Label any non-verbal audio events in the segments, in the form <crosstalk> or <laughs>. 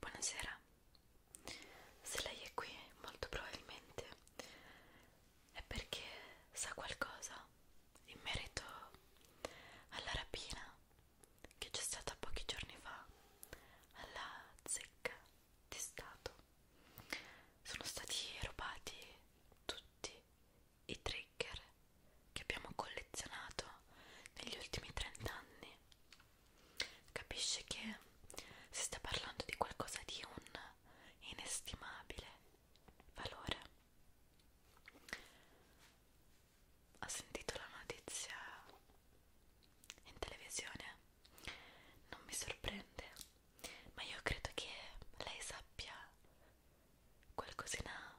Buonasera, se lei è qui molto probabilmente è perché sa qualcosa in merito alla rapina che c'è stata pochi giorni fa alla zecca di Stato. Sono stati rubati tutti i trigger che abbiamo collezionato negli ultimi 30 anni capisce che si sta parlando di qualcosa di un inestimabile valore. Ho sentito la notizia in televisione, non mi sorprende, ma io credo che lei sappia qualcosina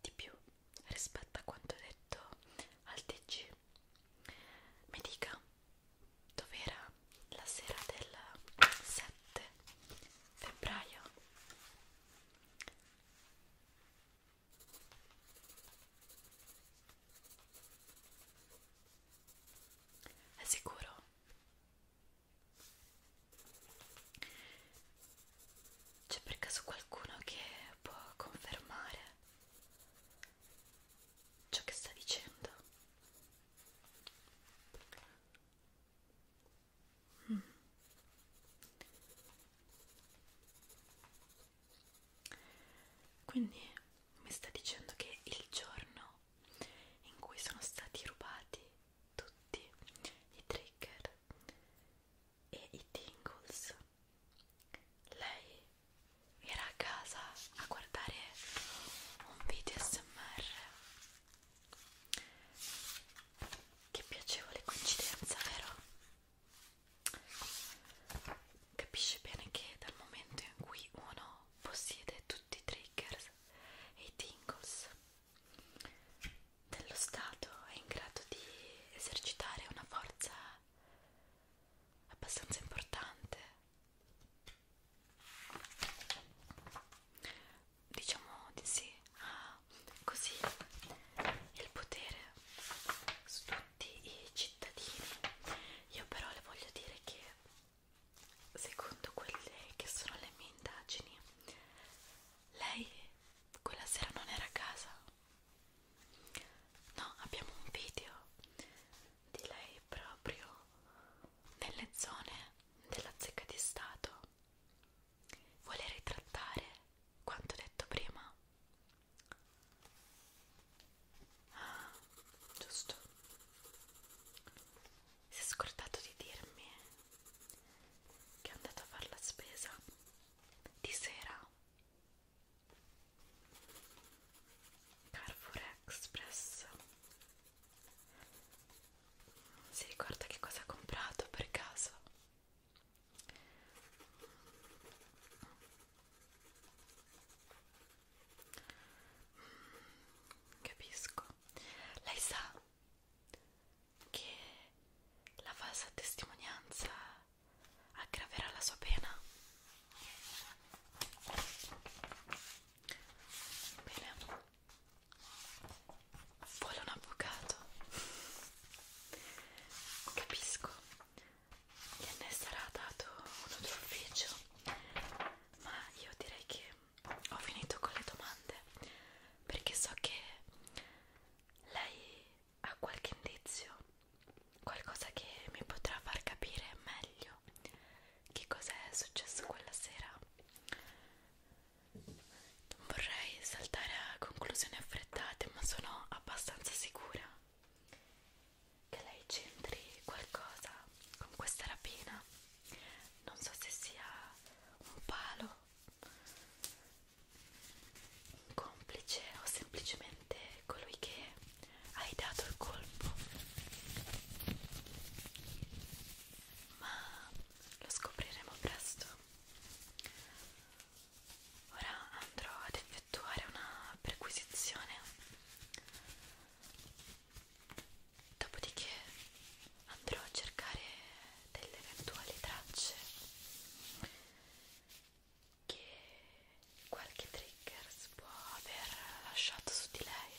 di più rispetto a quanto detto al TG mi dica dov'era la sera del 7 febbraio è sicuro? C'è per caso qualcuno che può confermare? ciò che sta dicendo. Mm. Quindi mi sta dicendo che il giorno in cui sono stati rubati tutti i trigger e i tingles, lei era a casa a guardare un video smr che piacevole coincidenza vero? capisce bene che dal momento in cui uno possiede tutti i triggers e i tingles dello stato è in grado di esercitare una forza abbastanza importante diciamo di sì ah, così il potere su tutti i cittadini io però le voglio dire che secondo quelle che sono le mie indagini lei quella sera non era a casa No, abbiamo un video di lei proprio nelle zone della zecca di Stato. Vuole ritrattare quanto detto prima? Ah, giusto. Si è scordato di dirmi che è andato a fare la spesa di sera Carrefour Express si ricorda che cosa ha comprato per caso? Mm, capisco. Lei sa che la falsa testimonianza aggraverà la sua pena. Bene, vuole un avvocato. Capisco, gliene sarà dato un altro ufficio, ma io direi che ho finito con le domande perché so che lei ha qualche indizio qualcosa che mi potrà far capire meglio che cosa è successo quella sera. Non vorrei saltare a conclusioni affrettate, ma sono abbastanza sicura che lei c'entri qualcosa con questa rapina. Non so se sia un palo, un complice o semplicemente colui che hai dato il colpo ma lo scopriremo presto ora andrò ad effettuare una perquisizione dopodiché andrò a cercare delle eventuali tracce che qualche trigger si può aver lasciato su di lei.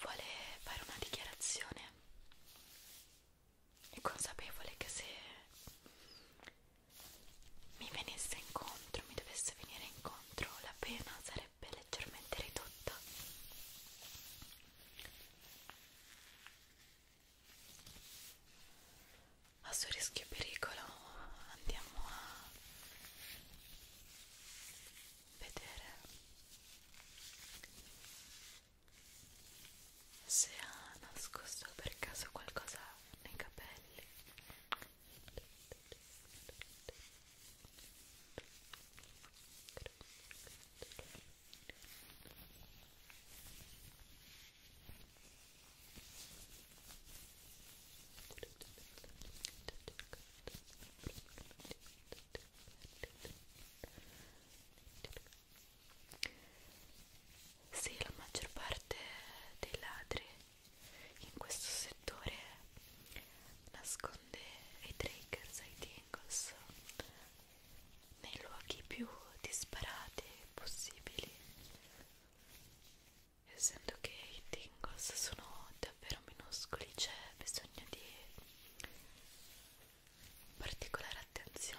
Vuole fare una dichiarazione. È consapevole che se mi venisse incontro, mi dovesse venire incontro, la pena sarebbe leggermente ridotta a suo rischio e pericolo andiamo a vedere se ha nascosto per caso qualcosa nei capelli sì, la maggior parte dei ladri in questo settore nasconde i triggers, i tingles nei luoghi più disparati possibili essendo che i tingles sono davvero minuscoli c'è bisogno di particolare attenzione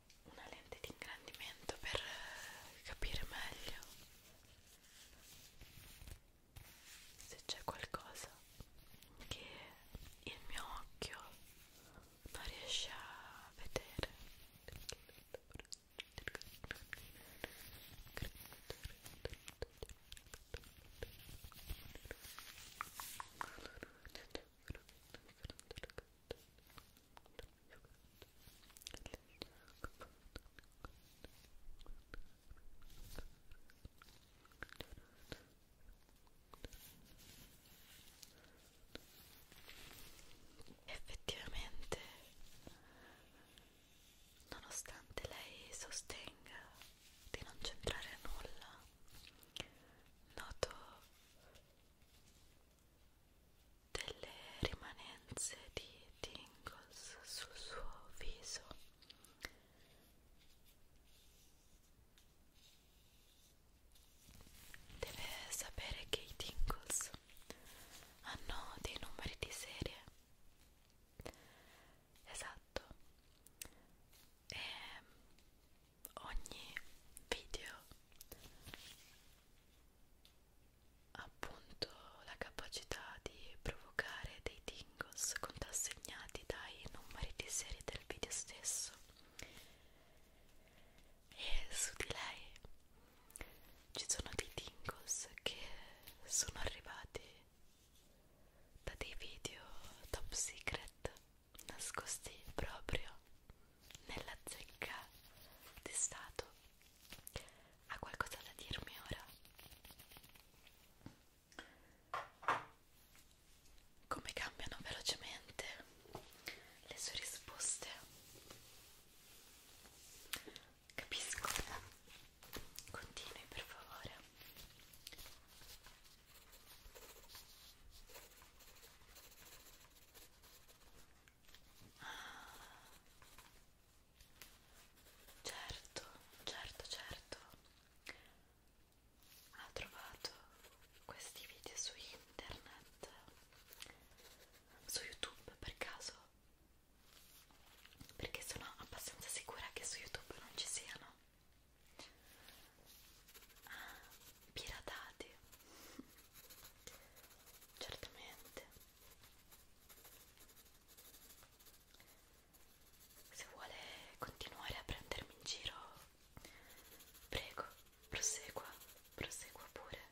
una lente di ingrandimento per eh, capire meglio se c'è qualcosa che il mio occhio non riesce a vedere Effettivamente, nonostante lei sostenga di non c'entrare nulla, noto delle rimanenze di tingles sul suo viso deve sapere che i tingles hanno dei numeri di serie esatto e ogni video appunto la capacità di provocare dei tingles contrassegnati dai numeri di serie del video stesso e su di lei ci sono dei tingles che sono arrivati da dei video top secret nascosti proprio nella zecca di stato. Ha qualcosa da dirmi ora? Come cambiano velocemente le sue risposte? Capisco. Continui per favore. Certo, certo, certo. Ha trovato questi video su internet, su YouTube per caso, perché sono abbastanza sicura che su YouTube non ci siano. Ah, piratati <laughs> certamente se vuole continuare a prendermi in giro prego prosegua prosegua pure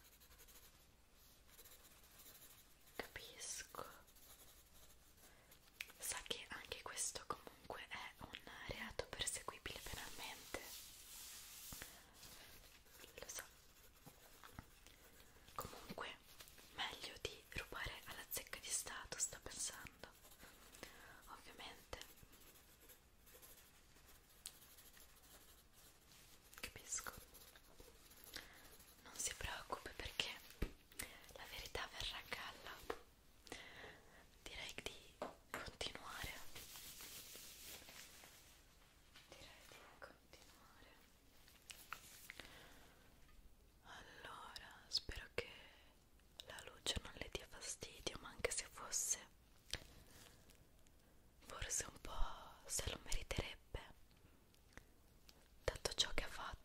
capisco sa che anche questo comunque è un reato perseguibile penalmente lo so comunque meglio di rubare alla zecca di stato sto pensando ovviamente capisco non si preoccupi perché la verità verrà a galla direi di continuare direi di continuare allora spero che la luce non le dia fastidio ma anche se fosse forse un po' se lo meriterebbe dato ciò che ha fatto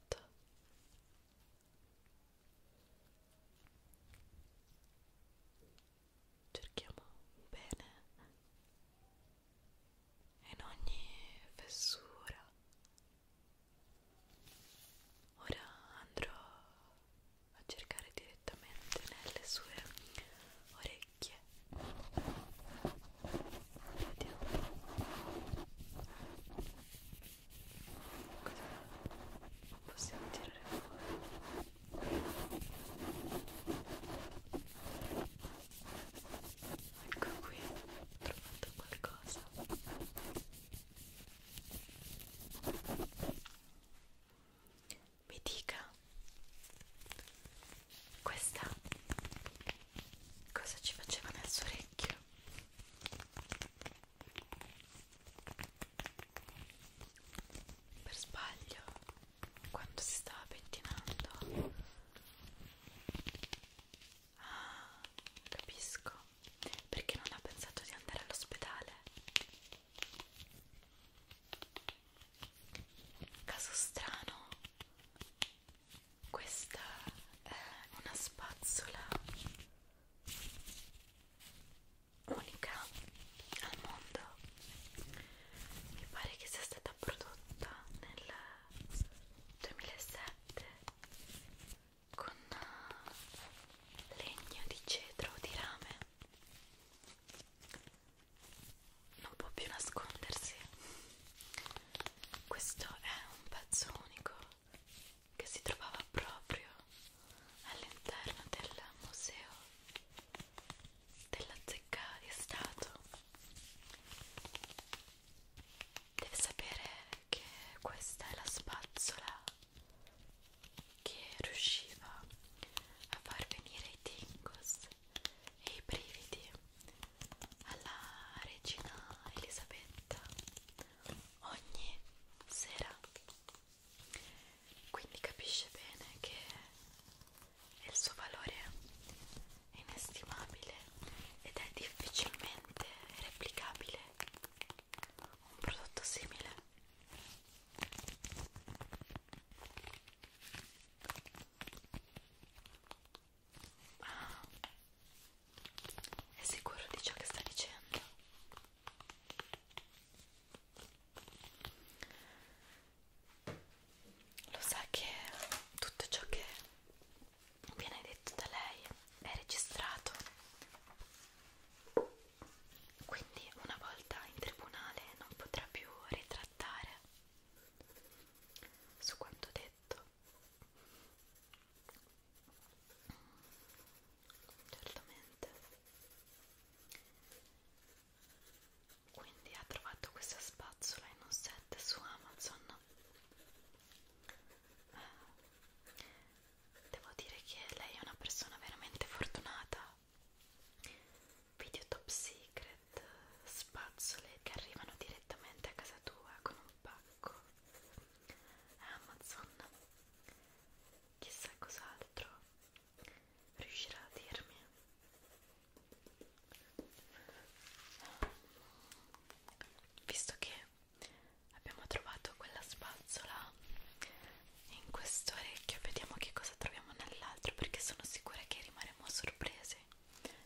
cerchiamo un bene in ogni fessura. Ora andrò a cercare direttamente nelle sue orecchie. Vediamo cosa possiamo tirare fuori. Ecco qui, ho trovato qualcosa. Mi dica, questa cosa ci faceva nel suo orecchio? Per sbaglio quando si stava pettinando ah capisco perché non ha pensato di andare all'ospedale caso strano questa è una spazzola unica al mondo mi pare che sia stata prodotta nel 2007 con eh, legno di cedro o di rame non può più nascondersi questo è un pezzo unico che si trovava proprio all'interno del museo della zecca di stato deve sapere che questa è la spazzola che riusciva a far venire i tingos e i brividi alla regina Elisabetta ogni sera quindi capisce bene che il suo valore è inestimabile ed è difficilmente replicabile un prodotto simile ah, è sicuro di ciò che sta dicendo lo sa che tutto ciò che viene detto da lei è registrato. Quindi una volta in tribunale non potrà più ritrattare su quanto detto. Certamente quindi ha trovato questa spazzola in un set su Amazon eh, devo dire che lei è una persona veramente fortunata video top secret spazzole che arrivano direttamente a casa tua con un pacco Amazon chissà cos'altro riuscirà a dirmi visto che abbiamo trovato quella spazzola in questo orecchio vediamo che cosa troviamo nell'altro perché sono sicura che rimarremo sorpresi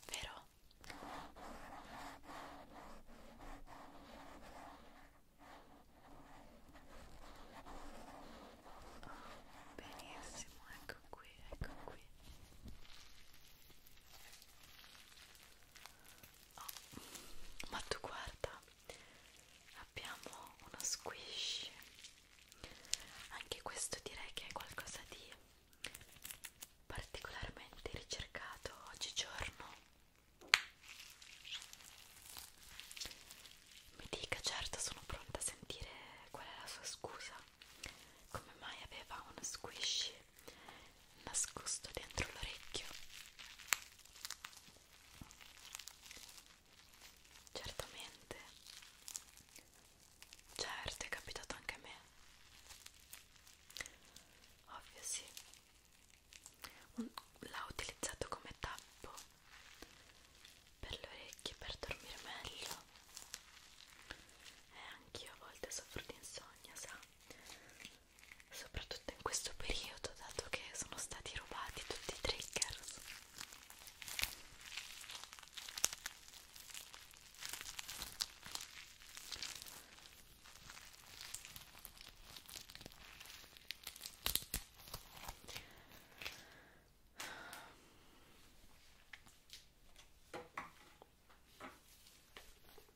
vero? Oh, benissimo, ecco ecco qui, ecco qui oh, ma tu guarda abbiamo uno squish anche questo direi che è qualcosa di particolarmente ricercato oggigiorno mi dica, certo, sono pronta a sentire qual è la sua scusa. Come mai aveva uno squishy nascosto dentro l'orecchio? Certamente. Certo, è capitato anche a me. Ovvio sì. L'ha utilizzato come tappo per le orecchie per dormire meglio e eh, anch'io a volte soffro di insonnia sa soprattutto in questo periodo dato che sono stati rubati tutti i triggers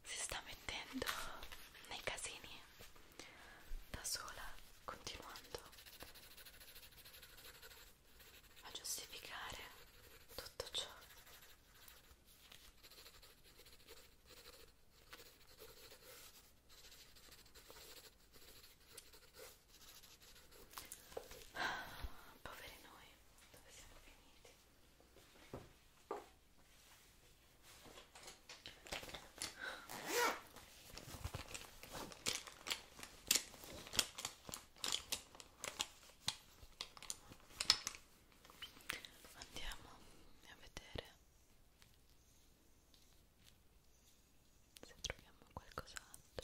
si sta mettendo nei casini da sola continuando a giustificare tutto ciò Poveri noi, dove siamo finiti? Andiamo a vedere se troviamo qualcos'altro.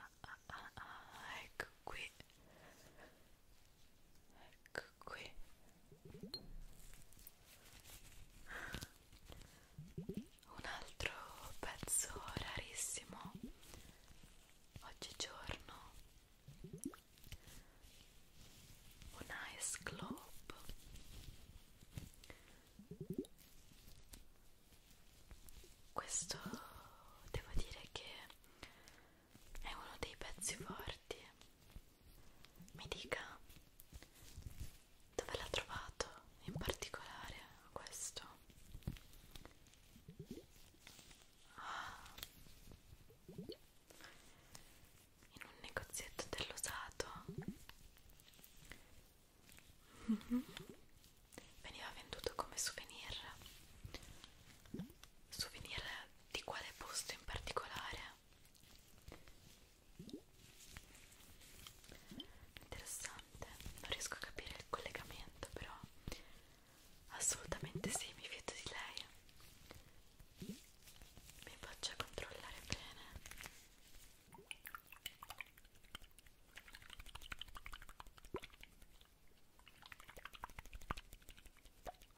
ah, ah, ah, ah, ecco qui ecco qui un altro pezzo rarissimo oggigiorno un ice globe questo devo dire che è uno dei pezzi forti mi dica dove l'ha trovato in particolare questo ah. in un negozietto dell'usato Mm -hmm. Veniva venduto come souvenir. Souvenir di quale posto in particolare? Interessante, non riesco a capire il collegamento, però assolutamente sì, mi fido di lei. Mi faccia controllare bene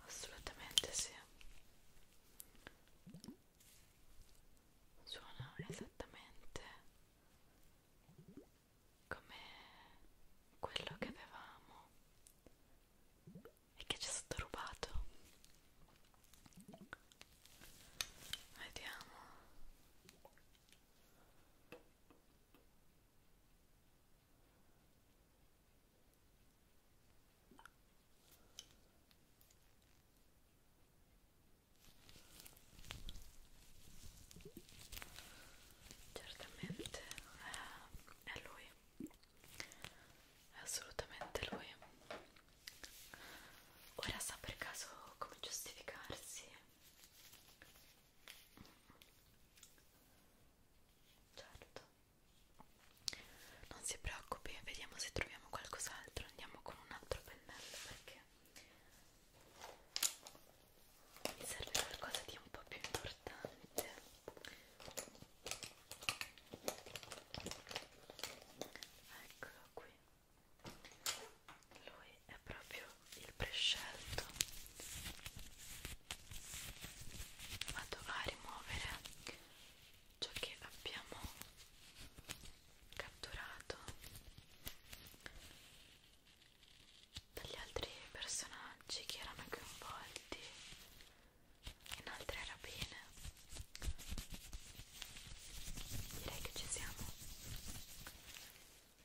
assolutamente sì suona esattamente come quello che avevamo e che ci è stato rubato vediamo Certamente è, eh, è lui, è assolutamente lui. Ora sa per caso come giustificarsi Certo. Non si preoccupi, vediamo se troviamo qualcos'altro. Andiamo con un altro pennello perché mi serve qualcosa di un po' più importante. Eccolo qui lui è proprio il prescelto vado a rimuovere ciò che abbiamo catturato dagli altri personaggi che erano coinvolti in altre rapine direi che ci siamo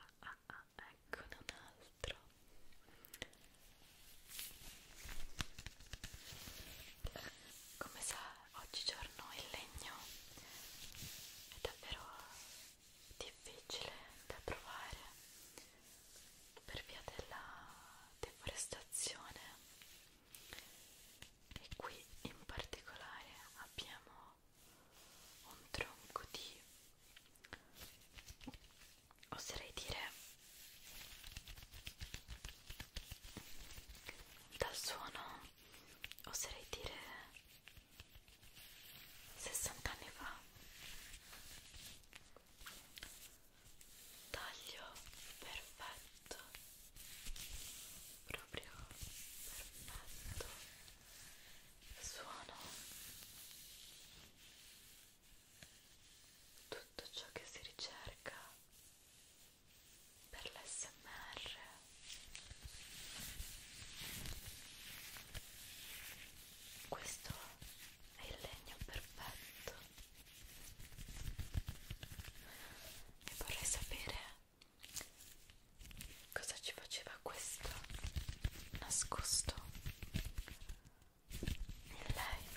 Ah, ah, ah, ecco un altro come sa oggigiorno il legno è davvero difficile da provare per via della deforestazione e qui in particolare abbiamo un tronco di oserei dire dal suono oserei dire 60 anni fa taglio perfetto proprio perfetto suono tutto ciò che si ricerca per l'SMR questo è il legno perfetto e vorrei sapere Cosa ci faceva questo nascosto in lei?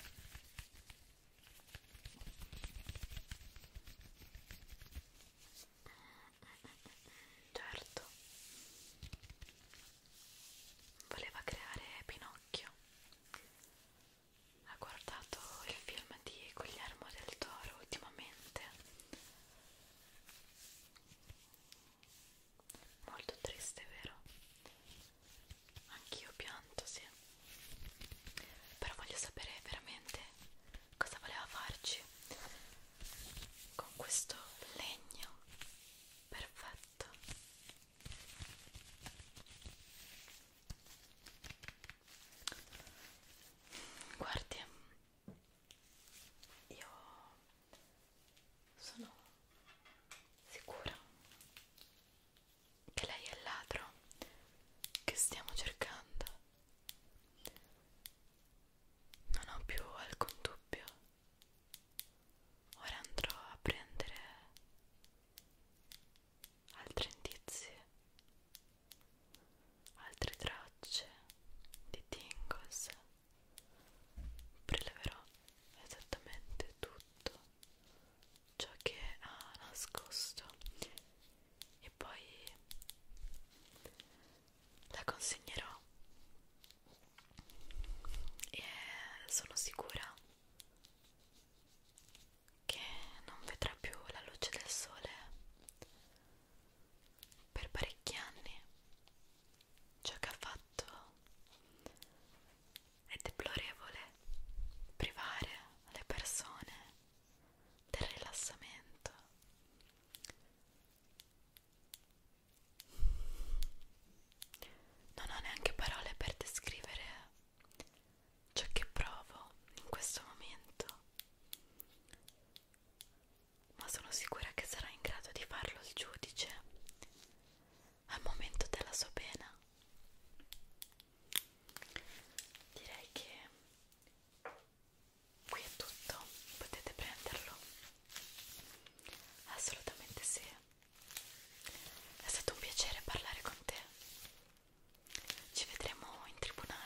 Certo, voleva creare Pinocchio. Ha guardato il film di Guglielmo del Toro ultimamente Molto triste, vero? Anch'io pianto, sì. Però voglio sapere veramente cosa voleva farci con questo legno perfetto. Guardi, io sono sicura che lei è il ladro che stiamo cercando non ho più alcun dubbio ora andrò a prendere altri indizi altre tracce di tingles preleverò esattamente tutto ciò che ha nascosto e poi la consegnerò e sono sicura che non vedrà più la luce del sole per parecchi anni ciò che ha fatto è deplorevole privare le persone del rilassamento non ho neanche parole per descrivere ciò che provo in questo momento ma sono sicura che sarà in grado di farlo il giudice al momento della sua pena. Direi che qui è tutto, potete prenderlo. Assolutamente sì. È stato un piacere parlare con te. Ci vedremo in tribunale.